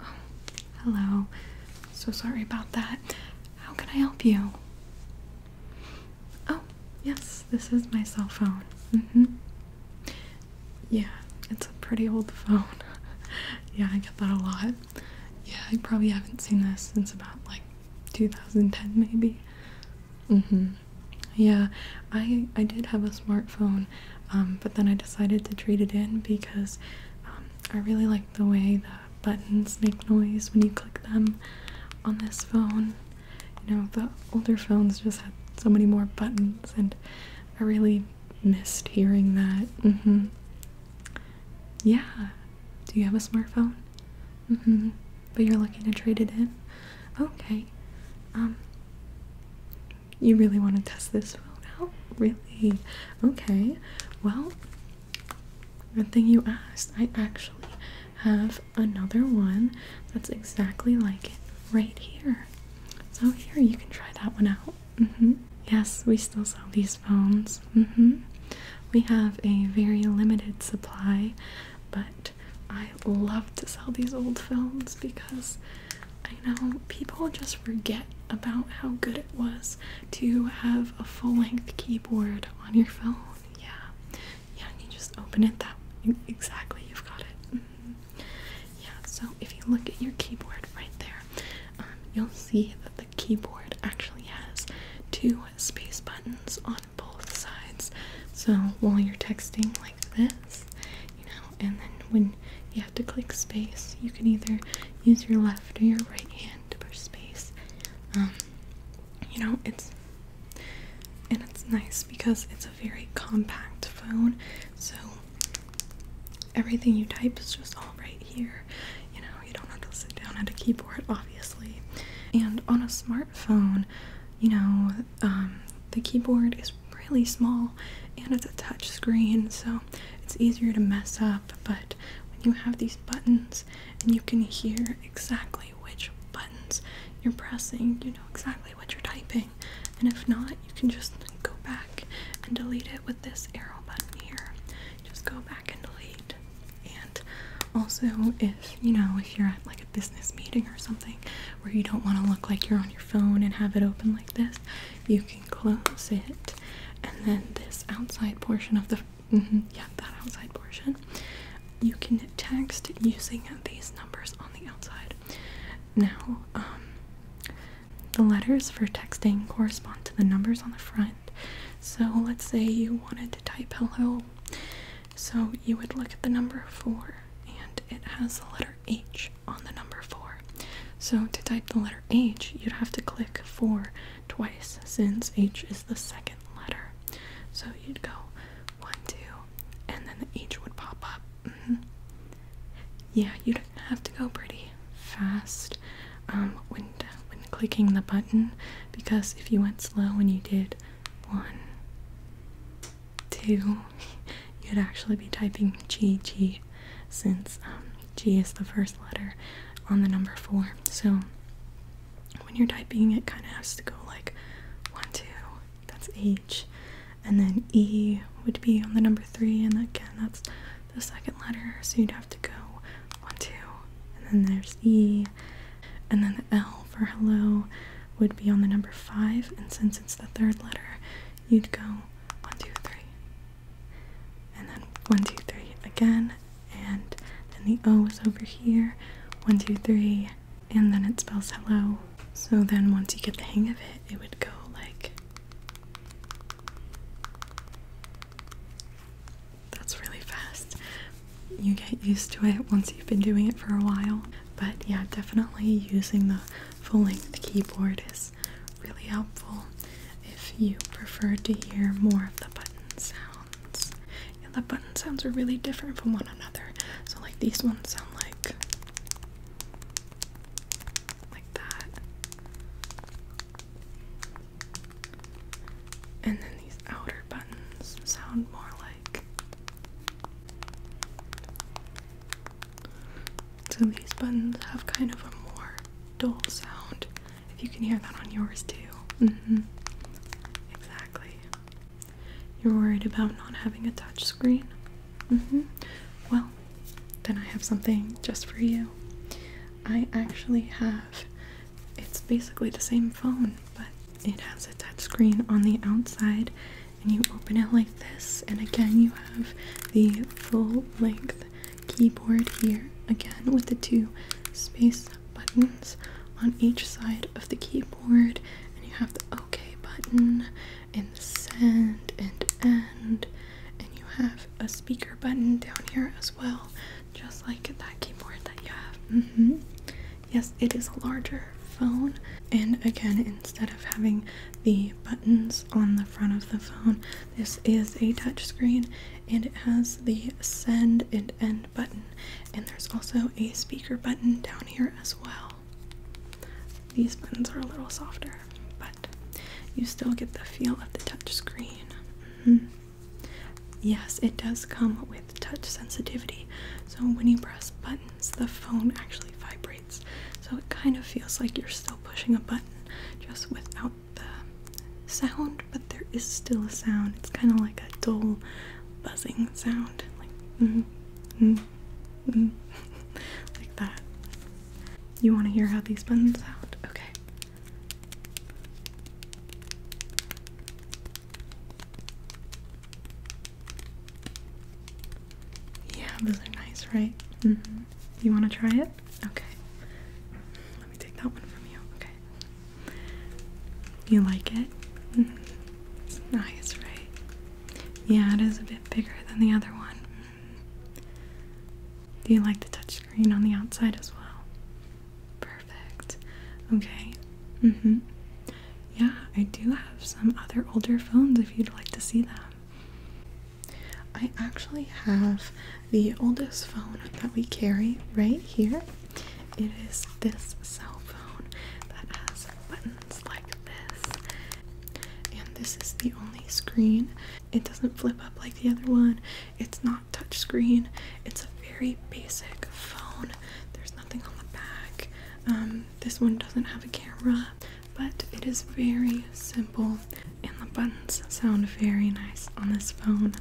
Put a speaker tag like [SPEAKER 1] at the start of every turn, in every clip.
[SPEAKER 1] Oh, hello. So sorry about that. How can I help you? Oh, yes, this is my cell phone. Mm-hmm. Yeah, it's a pretty old phone. yeah, I get that a lot. Yeah, I probably haven't seen this since about like 2010 maybe. Mm-hmm. Yeah, I I did have a smartphone, um, but then I decided to trade it in because um, I really like the way the buttons make noise when you click them on this phone. You know, the older phones just had so many more buttons, and I really missed hearing that. Mm-hmm. Yeah. Do you have a smartphone? Mm-hmm. But you're looking to trade it in? Okay. Um you really want to test this phone out? Really? Okay. Well, the thing you asked. I actually have another one that's exactly like it right here. So here you can try that one out. Mm-hmm. Yes, we still sell these phones yes. Mm mm-hmm. We have a very limited supply, but I love to sell these old films because I know people just forget about how good it was to have a full length keyboard on your phone. Yeah. Yeah, you just open it that Exactly, you've got it. Mm-hmm. Yeah, so if you look at your keyboard right there, um, you'll see that the keyboard actually has two space buttons on both sides. So while you're texting like this, you know, and then when you have to click space, you can either use your left or your right hand to push space. Um, you know, it's and it's nice because it's a very compact phone, so everything you type is just all right here. You know, you don't have to sit down at a keyboard, obviously. And on a smartphone, you know, um, the keyboard is really small and it's a touch screen, so it's easier to mess up. But when you have these buttons and you can hear exactly which buttons you're pressing, you know exactly what you're typing. And if not, you can just go back and delete it with this arrow button here. Just go back and delete also if you know if you're at like a business meeting or something where you don't want to look like you're on your phone and have it open like this you can close it and then this outside portion of the mm-hmm, yeah that outside portion you can text using these numbers on the outside now um, the letters for texting correspond to the numbers on the front so let's say you wanted to type hello. So you would look at the number 4 and it has the letter H on the number 4. So to type the letter H, you'd have to click 4 twice since H is the second letter. So you'd go 1, 2, and then the H would pop up. Mm-hmm. Yeah, you'd have to go pretty fast um, clicking the button because if you went slow and you did one, two, you'd actually be typing G G since um, G is the first letter on the number four. So when you're typing, it kind of has to go like one, two, that's H, and then E would be on the number three, and again, that's the second letter. So you'd to go one two. And then there's E. And then the L for hello would be on the number five. And since it's the third letter, you'd go one, two, three. And then one, two, three again. And then the O is over here. One, two, three. And then it spells hello. So then once you get the hang of it, it would go like that's really fast. You get used to it once you've been doing it for a while. But yeah, definitely using the full length keyboard is really helpful if you prefer to hear more of the button sounds. Yeah, the button sounds are really different from one another. So like these ones sound like like that. And then these outer buttons sound more like. So these buttons have kind of a more dull sound. If you can hear that on yours too. Mm-hmm. Exactly. You're worried about not having a touch screen? Mm-hmm. Well, then I have something just for you. I actually have it's basically the same phone, but it has a touch screen on the outside, and you open it like this, and again, you have the full length keyboard here, again, with the two space buttons on each side of the keyboard, and you have the OK button, and send and end, and you have a speaker button down here as well just like that keyboard that you have. Mm-hmm. Yes, it is a larger phone, and again, instead of having the buttons on the front of the phone, this is a touchscreen and it has the send and end button, and there's also a speaker button down here as well. These buttons are a little softer, but you still get the feel of the touchscreen. Mm mm-hmm. Yes, it does come with touch sensitivity. So when you press buttons, the phone actually vibrates. So it kind of feels like you're still pushing a button just without the sound, but there is still a sound. It's kind of like a dull buzzing sound. Like mm, mm, mm, that. You want to hear how these buttons sound? Okay. Yeah, those are nice, right? Mm-hmm. You want to try it? Okay. Let me take that one from you. Okay. You like it? It's mm-hmm. nice, right? Yeah, it is a bit bigger than the other one. Do you like the touchscreen on the outside as well? Perfect. Okay. hmm Yeah, I do have some other older phones if you'd like to see them. I actually have the oldest phone that we carry right here. It is this cell phone that has buttons like this. And this is the only screen. It doesn't flip up like the other one. It's not not touchscreen. It's a very basic phone. There's nothing on the back. Um, this one doesn't have a camera, but it is very simple, and the buttons sound very nice on this phone.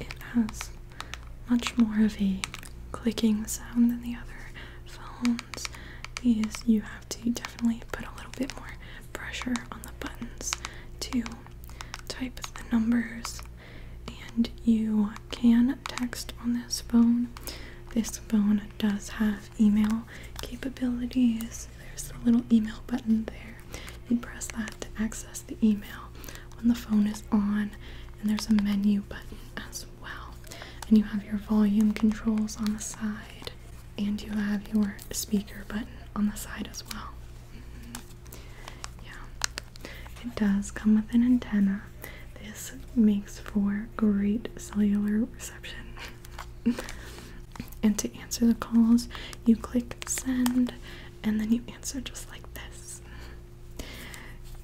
[SPEAKER 1] It has much more of a clicking sound than the other phones is you have to definitely put a little bit more pressure on the buttons to type the numbers and you can text on this phone. This phone does have email capabilities. There's a little email button there. You press that to access the email when the phone is on, and there's a menu button as well well. And you have your volume controls on the side, and you have your speaker button on the side as well. Mm-hmm. Yeah, it does come with an antenna. This makes for great cellular reception. and to answer the calls, you click send and then you answer just like this.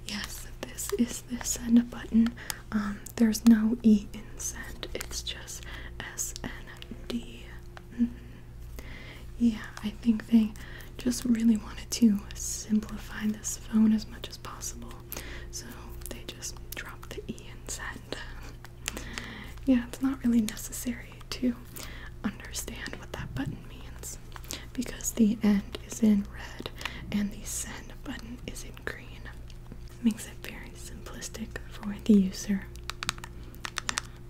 [SPEAKER 1] Yes, this is and a button. Um, there's no E in send, it's just S N D. Mm -hmm. Yeah, I think they just really wanted to simplify this phone as much as possible, so they just dropped the E in send. yeah, it's not really necessary to understand what that button means because the end is in red and the send button is in green. Makes it very simplistic for the user.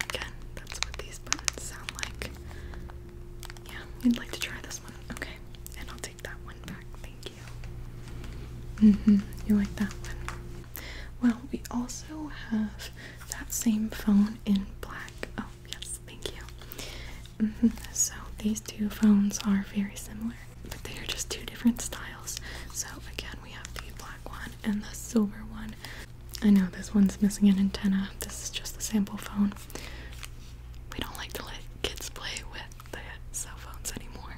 [SPEAKER 1] again, that's what these buttons sound like. Yeah, we'd like to try this one. Okay, and I'll take that one back. Thank you. Mm-hmm. You like that one? Well, we also have that same phone in black. Oh, yes, thank you. Mm-hmm. So these two phones are very similar, but they are just two different styles. So again, we have the black one and the silver one. I know this one's missing an antenna. This is just a sample phone. We don't like to let kids play with the cell phones anymore.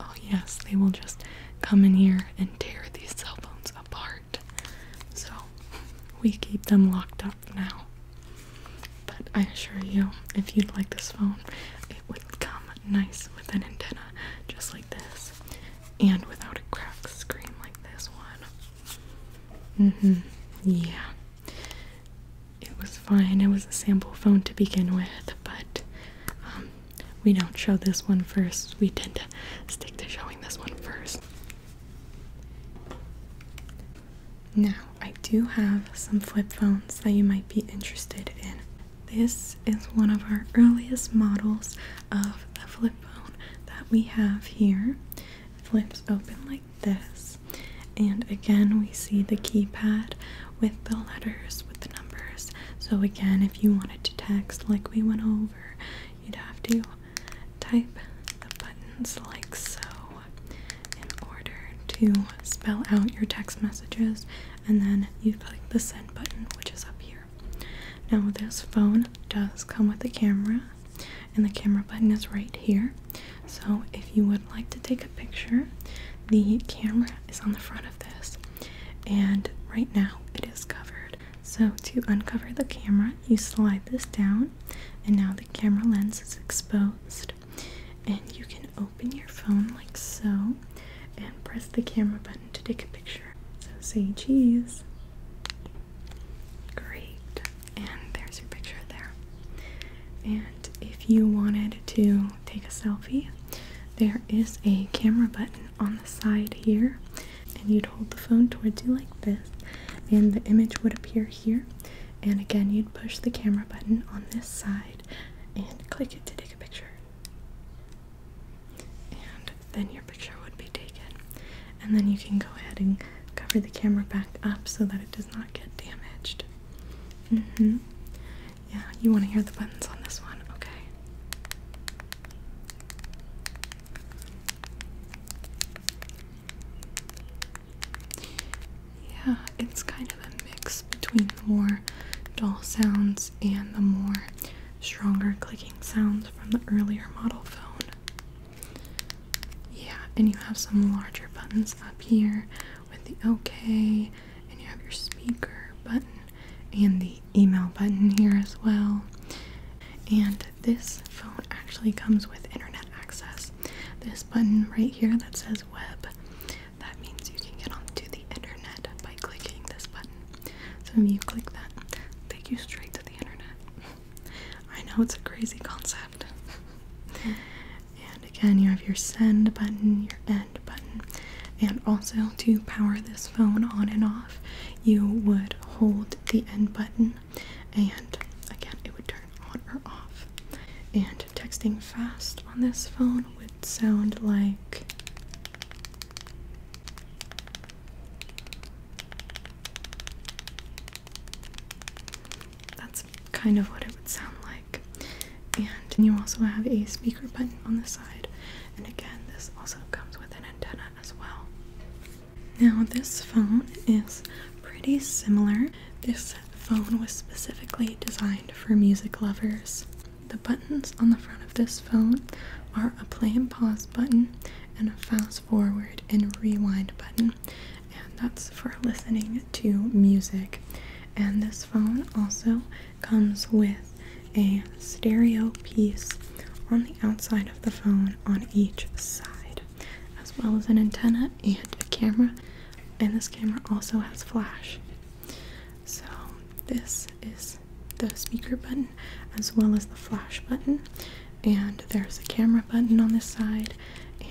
[SPEAKER 1] Oh yes, they will just come in here and tear these cell phones apart. So we keep them locked up now. But I assure you, if you'd like this phone, it would come nice with an antenna just like this, and without a cracked screen like this one. Mm-hmm. Yeah. It was fine. It was a sample phone to begin with, but um, we don't show this one first. We tend to stick to showing this one first. Now, I do have some flip phones that you might be interested in. This is one of our earliest models of a flip phone that we have here. flips open like this, and again, we see the keypad with the letters, with the numbers. So, again, if you wanted to text like we went over, you'd have to type the buttons like so in order to spell out your text messages, and then you click the send button, which is up here. Now, this phone does come with a camera, and the camera button is right here. So, if you would like to take a picture, the camera is on the front of this, and right now it is covered. So, to uncover the camera, you slide this down, and now the camera lens is exposed. And you can open your phone like so and press the camera button to take a picture. So say cheese. Great. And there's your picture there. And if you wanted to take a selfie, there is a camera button on the side here, and you'd hold the phone towards you like this, and the image would appear here and again you'd push the camera button on this side and click it to take a picture and then your picture would be taken and then you can go ahead and cover the camera back up so that it does not get damaged mm-hmm. yeah you want to hear the buttons on this one okay yeah, it's kind of a mix between the more dull sounds and the more stronger clicking sounds from the earlier model phone. Yeah, and you have some larger buttons up here with the OK, and you have your speaker button and the email button here as well. And this phone actually comes with internet access. This button right here that says web, that means you can get onto the internet by clicking this button. So when you click that, it'll take you straight to the internet. I know it's a crazy concept. and again, you have your send button, your end button, and also to power this phone on and off, you would hold the end button and again it would turn on or off. And texting fast on this phone would sound like that's kind of what it would sound like. And you also have a speaker button on the side, and again, this also comes with an antenna as well. Now, this phone is pretty similar. This phone was specifically designed for music lovers. The buttons on the front of this phone are a play and pause button and a fast forward and rewind button, and that's for listening to music. And this phone also comes with a stereo piece on the outside of the phone on each side as well as an antenna and a camera. And this camera also has flash. So, this is the speaker button as well as the flash button. And there's a camera button on this side,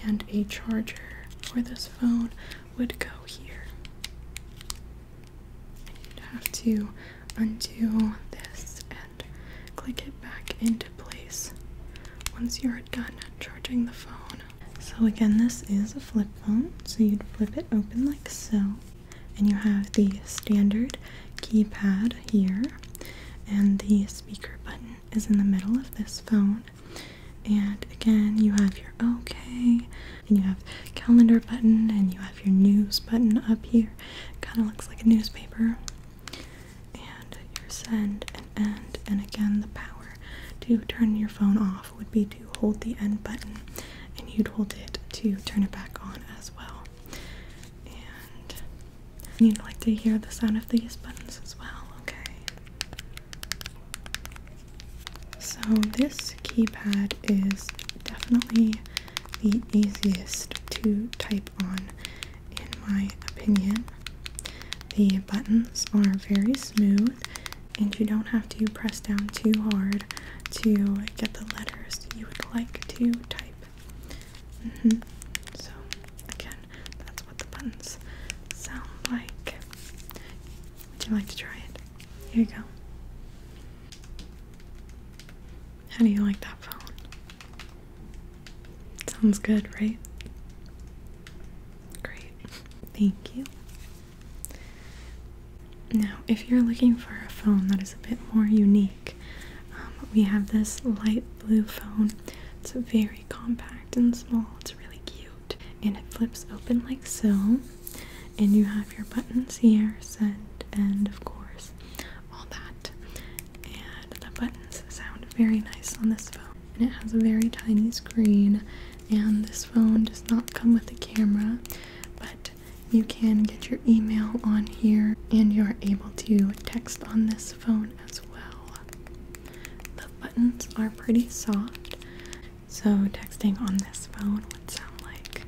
[SPEAKER 1] and a charger where this phone would go here. You'd have to undo this click it back into place once you're done charging the phone. So again, this is a flip phone, so you'd flip it open like so, and you have the standard keypad here, and the speaker button is in the middle of this phone. And again, you have your OK, and you have calendar button, and you have your news button up here. Kind of looks like a newspaper and your send and end and again the power to turn your phone off would be to hold the end button and you'd hold it to turn it back on as well and you'd like to hear the sound of these buttons as well okay so this keypad is definitely the easiest to type on in my opinion. The buttons are very smooth, and you don't have to press down too hard to get the letters you would like to type. Mm -hmm. So, again, that's what the buttons sound like. Would you like to try it? Here you go. How do you like that phone? Sounds good, right? Great. Thank you. Now, if you're looking for a phone that is a bit more unique, um, we have this light blue phone. It's very compact and small. It's really cute. And it flips open like so. And you have your buttons here, send, and of course, all that and the buttons sound very nice on this phone. And it has a very tiny screen, and this phone does not come with a camera, but you can get your email on here, and you're able to text on this phone as well. The buttons are pretty soft, so texting on this phone would sound like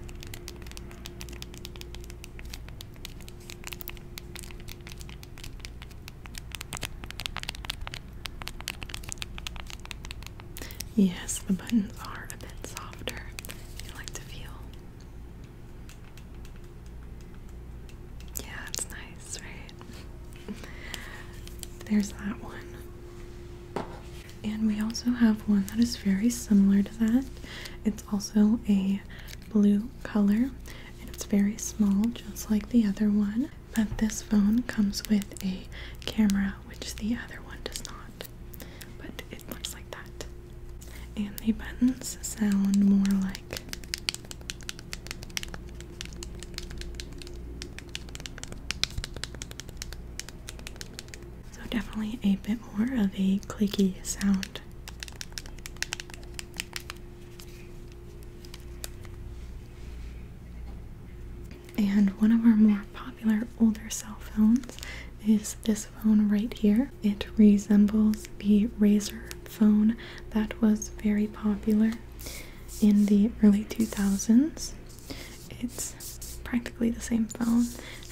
[SPEAKER 1] Yes, the buttons are a bit softer. You like to feel. Yeah, it's nice, right? There's that one. And we also have one that is very similar to that. It's also a blue color and it's very small just like the other one but this phone comes with a camera which the other one does not but it looks like that and the buttons sound more like so definitely a bit more of a clicky sound and one of our more popular older cell phones is this phone right here. It resembles the Razor phone that was very popular in the early 2000s. It's practically the same phone,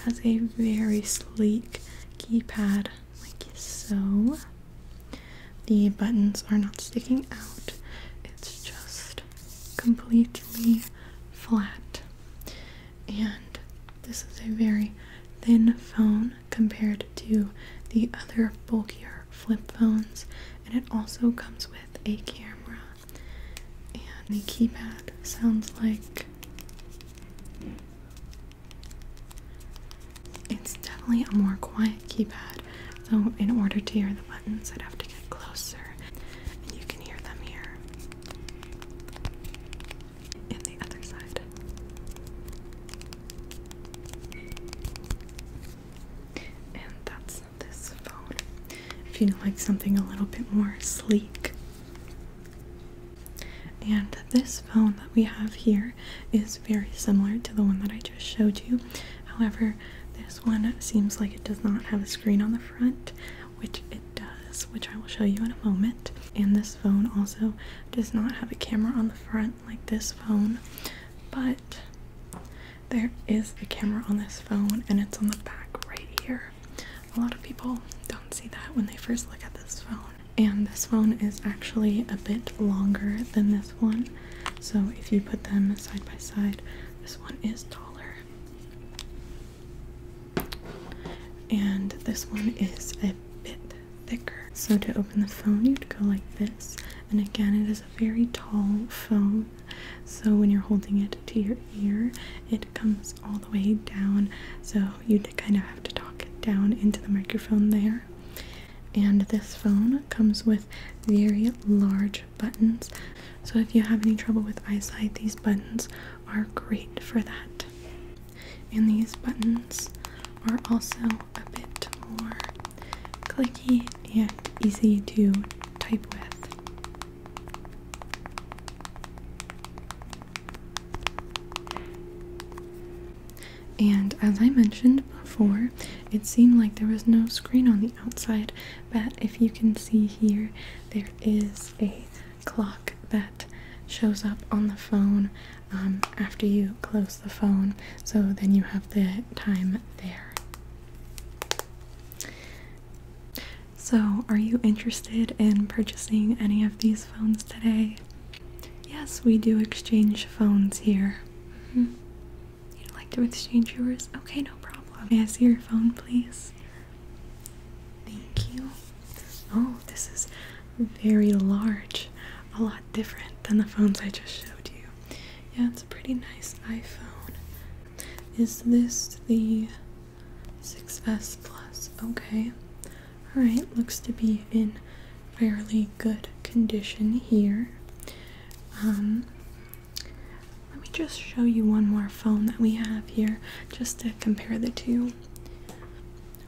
[SPEAKER 1] has a very sleek keypad like so. The buttons are not sticking out, it's just completely flat. And this is a very thin phone compared to the other bulkier flip phones, and it also comes with a camera. And the keypad sounds like it's definitely a more quiet keypad, so in order to hear the buttons, I'd have to get closer, and you can hear them here. And the other side. And that's this phone. If you like something a little bit more sleek, and this phone that we have here is very similar to the one that I just showed you. However, this one seems like it does not have a screen on the front, which it does, which I will show you in a moment. And this phone also does not have a camera on the front like this phone, but there is a camera on this phone and it's on the back right here. A lot of people don't see that when they first look at this phone. And this phone is actually a bit longer than this one. So if you put them side by side, this one is taller. And this one is a bit thicker. So to open the phone, you'd go like this. And again, it is a very tall phone. So when you're holding it to your ear, it comes all the way down, so you kind of have to talk it down into the microphone there. And this phone comes with very large buttons, so if you have any trouble with eyesight, these buttons are great for that. And these buttons are also a bit more clicky and easy to type with. And as I mentioned before, it seemed like there was no screen on the outside, but if you can see here, there is a clock that shows up on the phone um, after you close the phone, so then you have the time there. So, are you interested in purchasing any of these phones today? Yes, we do exchange phones here. Mm-hmm. You'd like to exchange yours? Okay, no problem. May I see your phone, please? Thank you. Oh, this is very large. A lot different than the phones I just showed you. Yeah, it's a pretty nice iPhone. Is this the 6s plus okay all right looks to be in fairly good condition here um, let me just show you one more phone that we have here just to compare the two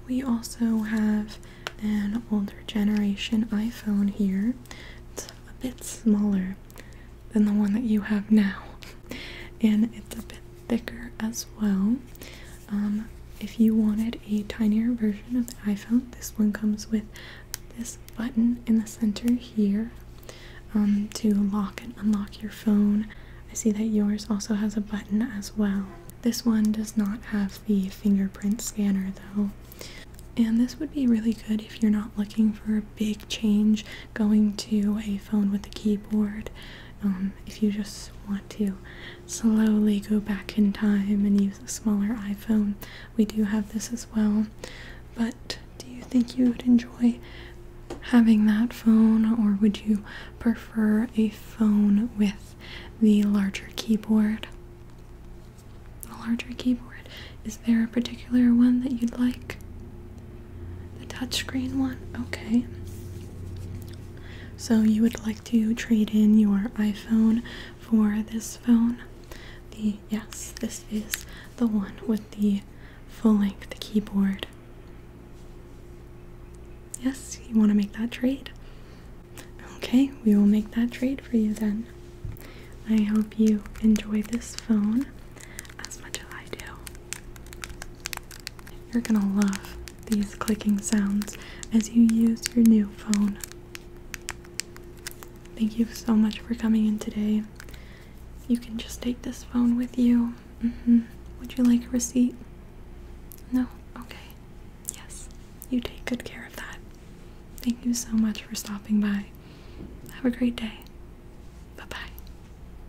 [SPEAKER 1] we also have an older generation iphone here it's a bit smaller than the one that you have now and it's a bit thicker as well. Um, if you wanted a tinier version of the iPhone, this one comes with this button in the center here um, to lock and unlock your phone. I see that yours also has a button as well. This one does not have the fingerprint scanner though. And this would be really good if you're not looking for a big change going to a Phone with the keyboard. Um, if you just want to slowly go back in time and use a smaller iPhone, we do have this as well. But do you think you would enjoy having that phone, or would you prefer a phone with the larger keyboard? A larger keyboard. Is there a particular one that you'd like? The touchscreen one? Okay. So you would like to trade in your iPhone for this phone? The yes, this is the one with the full-length keyboard. Yes, you want to make that trade? Okay, we will make that trade for you then. I hope you enjoy this phone as much as I do. You're gonna love these clicking sounds as you use your new phone. Thank you so much for coming in today. You can just take this phone with you. Mm-hmm. Would you like a receipt? No? Okay. Yes. You take good care of that. Thank you so much for stopping by. Have a great day. Bye bye.